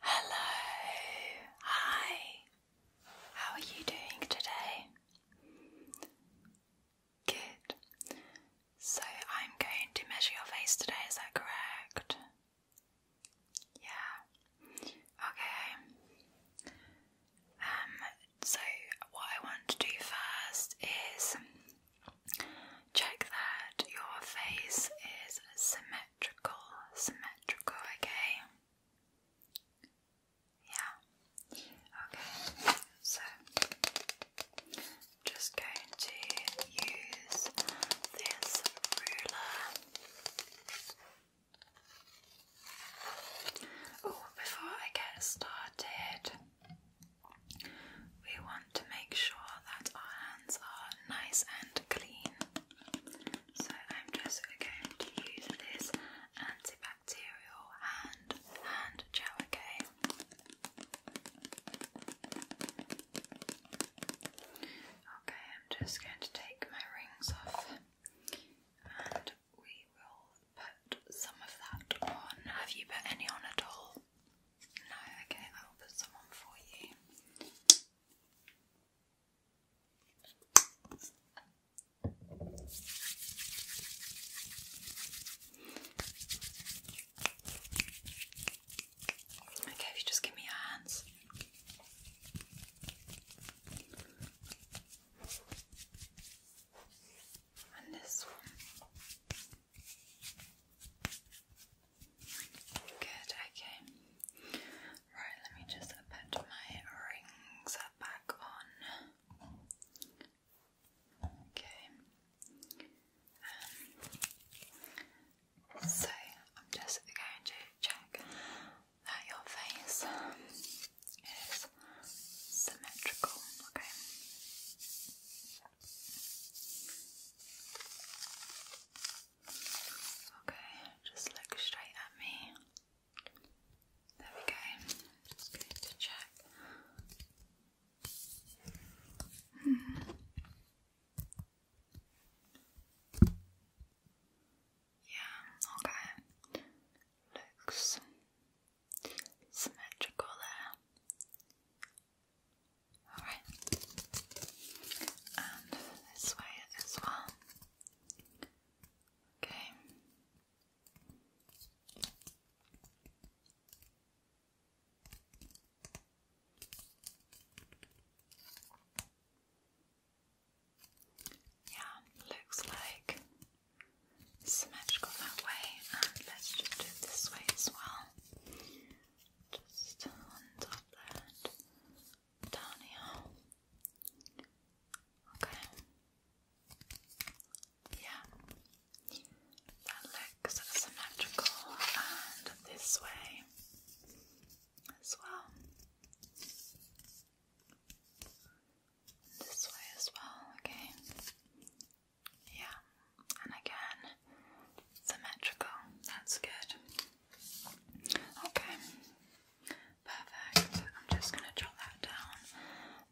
Hello, hi, how are you doing today? Good. So I'm going to measure your face today, is that correct? Yeah. Okay. Um, so what I want to do first is check that your face is symmetrical symmetrical, symmetrical, okay? Yeah, okay, so just going to use this ruler. Oh, before I get started, we want to make sure that our hands are nice and clean. So I'm just going to use this antibacterial hand hand gel, Okay, I'm just going to take my rings off and we will put some of that on. Have you put any on at all? No, okay, I will put some on for you. Okay, if you just give me your hands. And this one. Good, okay. Right, let me just put my rings back on. Okay. Um, so, I'm just going to check that your face is symmetrical, Okay, Okay, just look straight at me. There we go. Just going to check. Hmm. Yeah, okay. Looks symmetrical there. Alright. And this way as well. Okay. Yeah, looks like symmetrical that way, and let's just do this way as well. Just on top of down Okay. Yeah. That looks symmetrical and this way as well. This way as well, okay. Yeah, and again, symmetrical, that's good. Okay, perfect. I'm just going to jot that down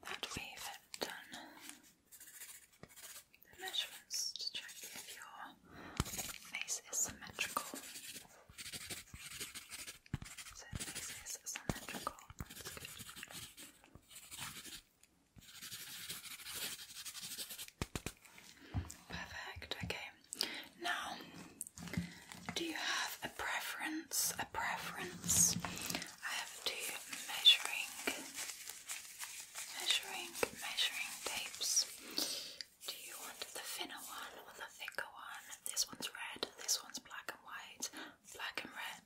that we done the measurements to check if your face is symmetrical. So, face is symmetrical. That's good. Perfect, okay now do you have a preference? A preference? I have two measuring, measuring, measuring tapes. Do you want the thinner one or the thicker one? This one's red, this one's black and white, black and red,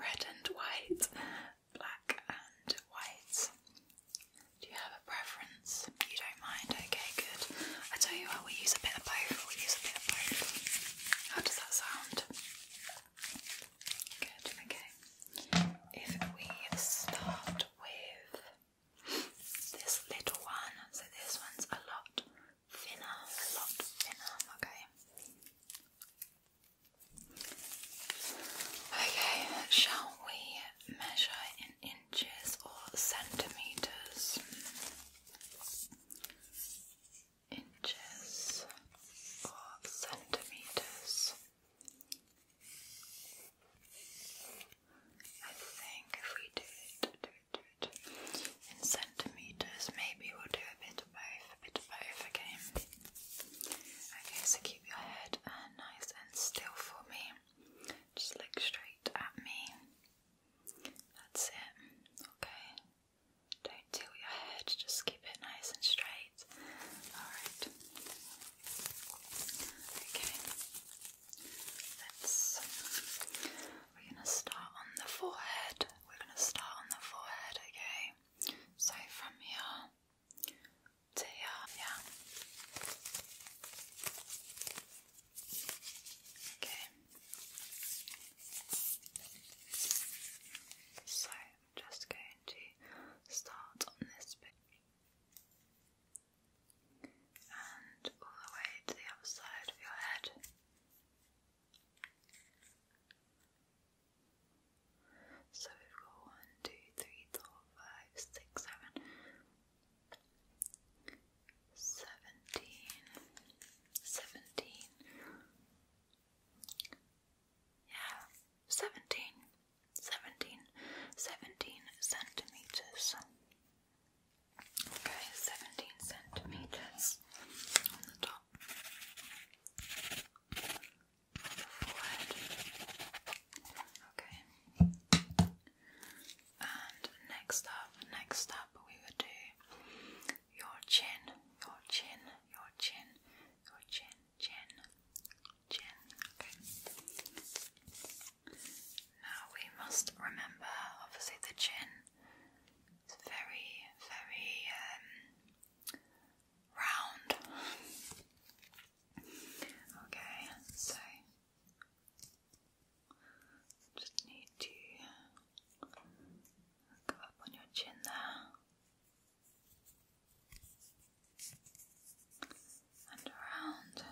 red and white, black and white. Do you have a preference? You don't mind? Okay, good. I tell you what, we use a bit of both. we use a bit of both. How does that sound? Good, okay. If we start with this little one, so this one's a lot thinner, a lot thinner, okay. Okay, shall we measure in inches or centimeters. Inches or centimeters. I think if we do it, do it, do it in centimeters, maybe we'll do a bit of both, a bit of both, okay? Okay, so keep your head uh, nice and still for me. Just look straight at me. That's it. Okay. Don't tilt your head, just keep it nice and straight. Alright. Okay. let We're going to start on the forehead. We're going to start on the forehead, okay? So from here, 这样呀。Okay. So I'm just going to start on this bit and all the way to the other side of your head. So we've got one, two, three, four, five, six, seven, seventeen, seventeen, yeah, seventeen, seventeen, seventeen centimeters. Okay, seventeen centimeters on the top. the forehead. Okay. And next up, next up, we will do your chin, your chin, your chin, your chin, chin, chin. Okay. Now we must remember, obviously, the chin. It's very, very um, round. Okay, so just need to go up on your chin there and around.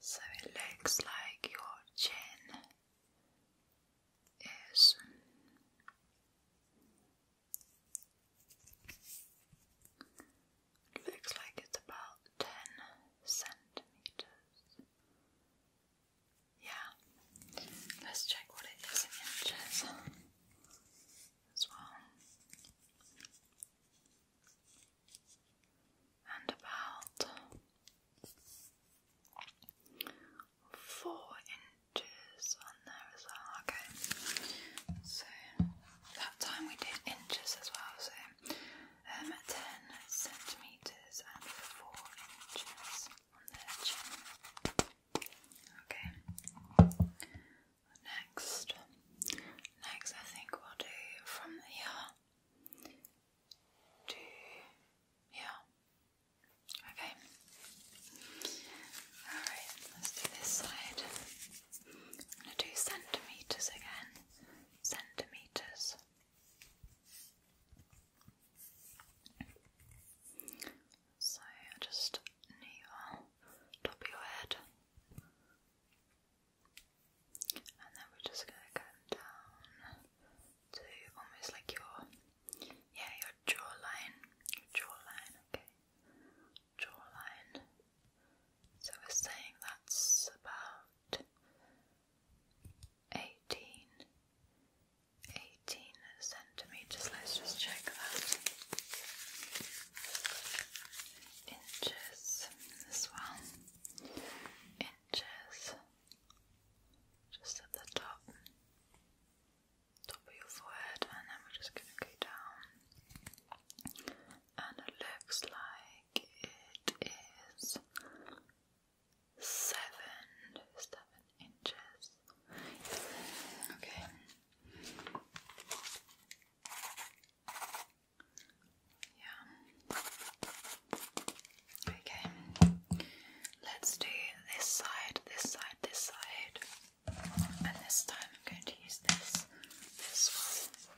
So it looks like your chin is it looks like it's about 10 centimeters. Yeah, let's check what it is in inches as well. And about four inches on there as well. Okay, so that time we did inches as well, so um, 10 centimetres and 4 inches Okay, next, next I think we'll do from here to here. Okay, alright, let's do this side. I'm going to do centimetres again. Centimetres. So I just kneel top of your head. And then we're just going to come down to almost like your, yeah, your jawline. jawline, okay. Jawline. So we're saying that's about 18, 18 centimetres. Let's just check that. Inches as well. Inches just at the top, top of your forehead, and then we're just going to go down and it looks like it is seven, seven inches. Okay. Yeah. Okay. Let's do this side, this side, this side. And this time I'm going to use this. This one.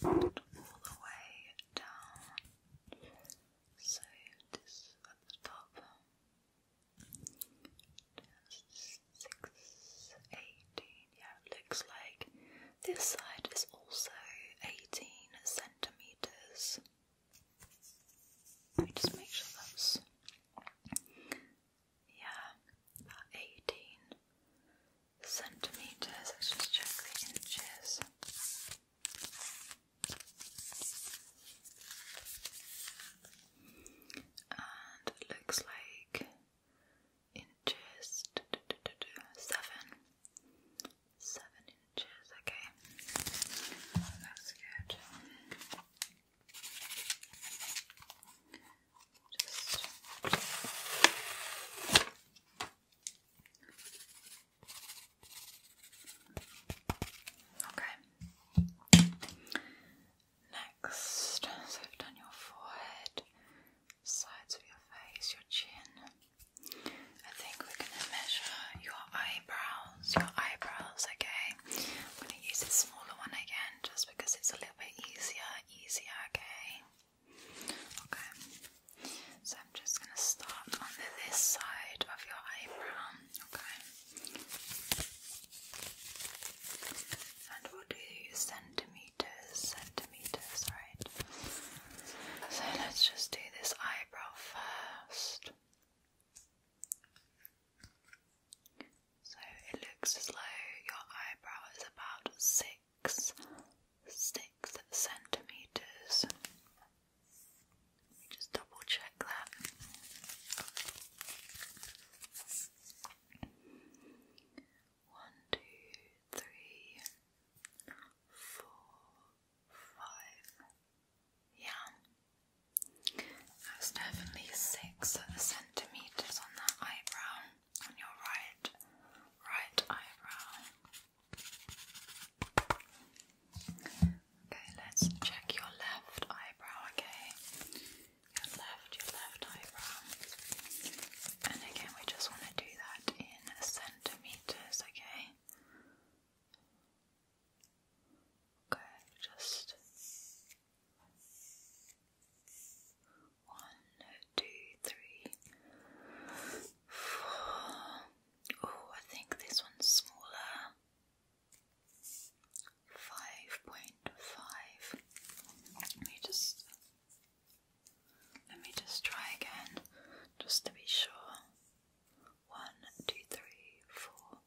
Okay, all the way down. So this at the top. Six, Yeah, looks like this side is also 18 centimeters. Let me just make sure that's. Yeah, about 18 centimeters. Let's just check the inches. And it looks like inches seven. Seven inches, okay. That's good. Okay. Next, so we've done your forehead, sides of your face, your chin. I think we're going to measure your eyebrows, your eyebrows, okay? I'm going to use the smaller one again just because it's a little bit easier, easier, okay? Okay, so I'm just going to start on this side of your eyebrow. Okay, and we'll do centimeters, centimeters, right? So let's just do this eyebrow first. So it looks as though your eyebrow is about six six centimeters. just double check that. One, two, three, four, five. Yeah, that's definitely six centimeters on that eyebrow on your right right eyebrow. Okay, let's check your left eyebrow, okay? Your left, your left eyebrow. And again we just want to do that in centimeters, okay? Okay, just one, two, three, four. Oh, I think this one's smaller. Five point five. Let me just let me just try again, just to be sure. One, two, three, four,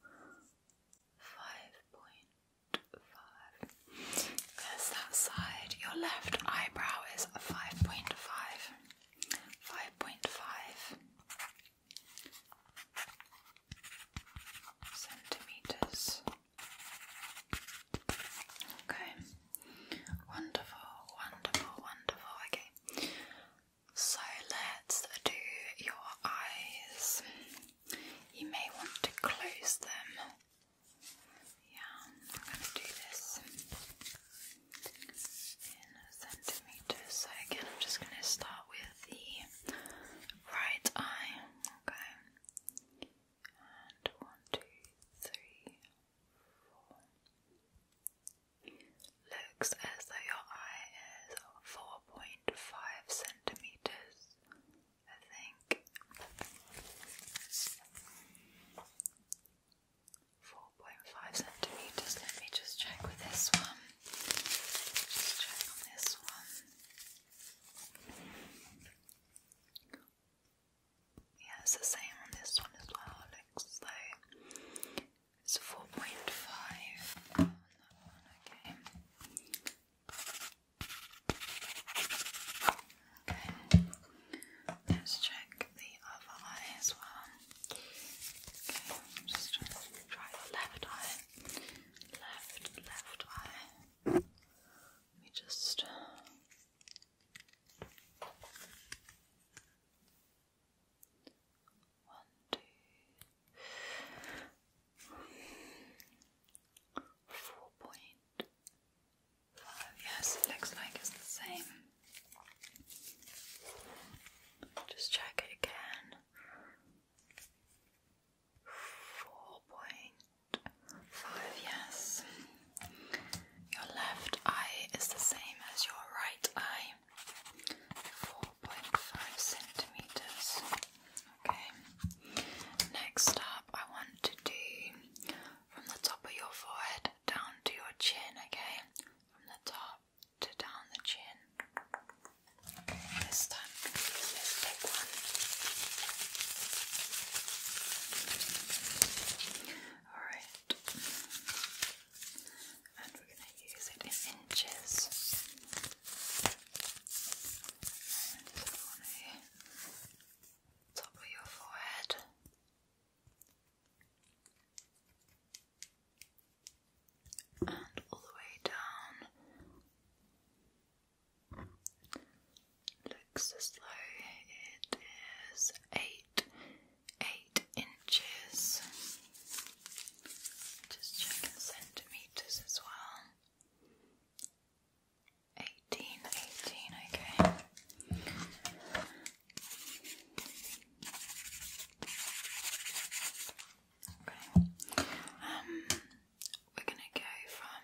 five point five. Because that side, your left eyebrow is five point five, 5.5 centimeters. Okay, wonderful, wonderful, wonderful. Okay, so let's do your eyes. You may want to close them yeah, I'm gonna do this in centimeters. So again, I'm just gonna start with the right eye. Okay, and one, two, three, four. Looks as though your eye is four point five centimeters. I think. 4.5 centimeters. Let me just check with this one. Just check on this one. Yeah, it's the same on this one as well. Looks like it's 4.5 Okay, let's check the other eye as well. Okay, just try the left eye. Left, left eye. Let me just. Uh, one, two, four point Yes, it looks like it's the same. Just check again. Four point five, yes. Your left eye is the same as your right eye. Four point five centimeters. Okay. Next up I want to do from the top of your forehead down to your chin, okay? From the top to down the chin. This time, let's take one. Alright. And we're going to use it in inches. And so on here. Top of your forehead, and all the way down. Looks as though it is eight, eight inches. Just check centimeters as well. 18, okay. Um, we're gonna go from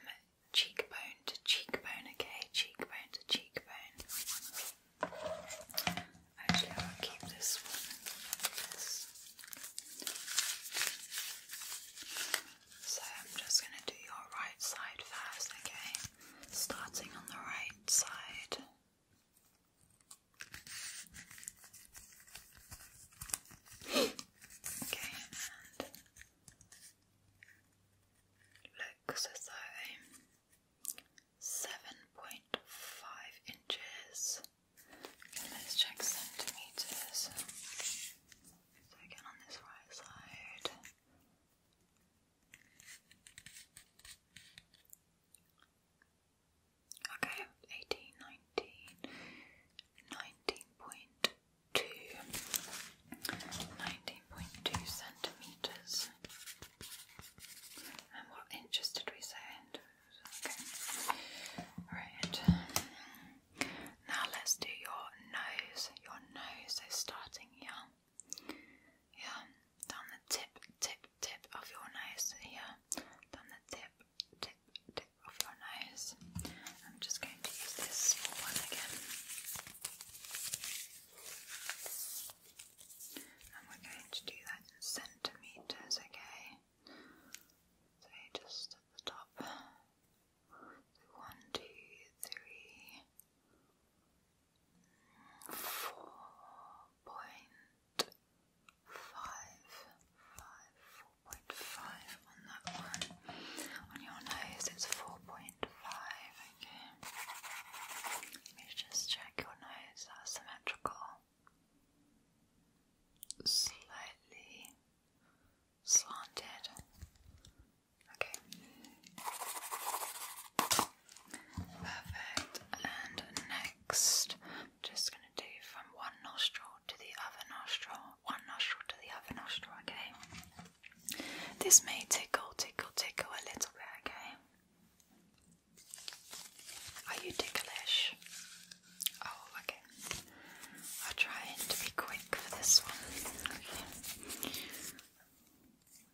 cheekbone to cheekbone, okay? Cheekbone to cheekbone. Actually, I'll keep this one. So I'm just gonna do your right side first, okay? starting on the right side. okay, and looks as though seven point five inches. let's check centimeters. So again on this right side. Okay, 18, centimetres. And what inches did we say? Right. Now let's do your nose. Your nose is starting here yeah, down the tip, tip, tip of your nose here, down the tip, tip, tip of your nose. I'm just going to use this one again. And we're going to do that in centimetres, okay? So just at the top. one, two, three, four point five, five, four point five on that one. On your nose, it's four point five. Okay, let me just check your nose. That's Slightly slanted. Okay. Perfect. And next, just going to do from one nostril to the other nostril, one nostril to the other nostril, okay? This may tickle, tickle, tickle a little bit, okay? Are you ticklish? Oh, okay. I'll try to be quick for this one. Okay.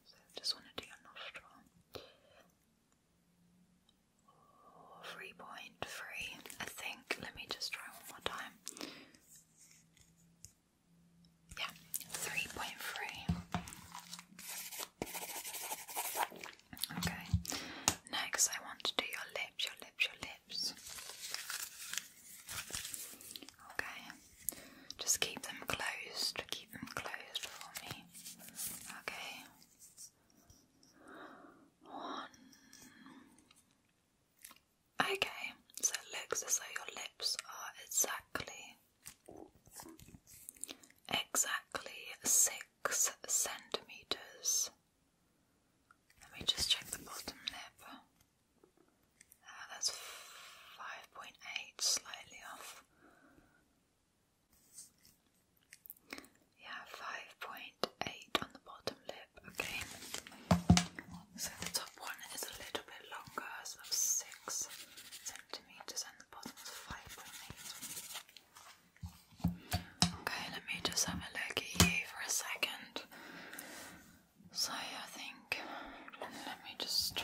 So just want to do your nostril. 3.3, I think. Let me just try one more time. Yeah, 3.3. Okay, next I want to do your lips, your lips, your lips. Okay, just keep them closed. Keep them closed for me. Okay. One. Okay, so looks as though your lips are exactly, exactly six centimeters. Let me just check the bottom lip. Uh, that's 5.8, slightly off. Yeah, five point eight on the bottom lip. Okay, so the top one is a little bit longer, so that's six centimeters, and the bottom is five point eight. Okay, let me just have a look at you for a second. So I think let me just.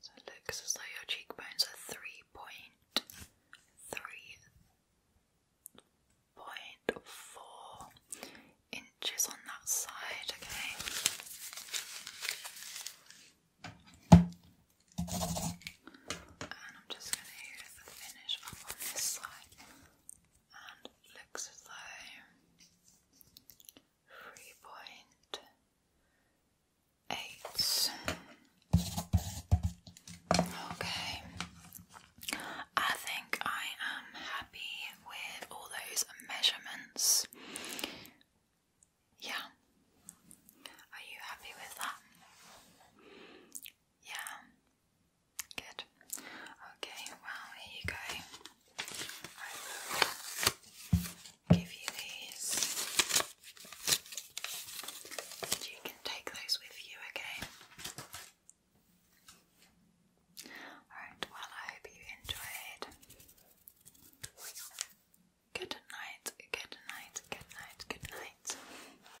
So it looks as though your cheekbones are three point three point four inches on that side, okay? I'm just going to finish up on this side and looks as 3.8 Okay, I think I am happy with all those measurements. Yeah. Are you happy with that? Yeah. Good. Okay, well, here you go. I will give you these. And you can take those with you, okay? Alright, well, I hope you enjoyed. Good night, good night, good night, good night.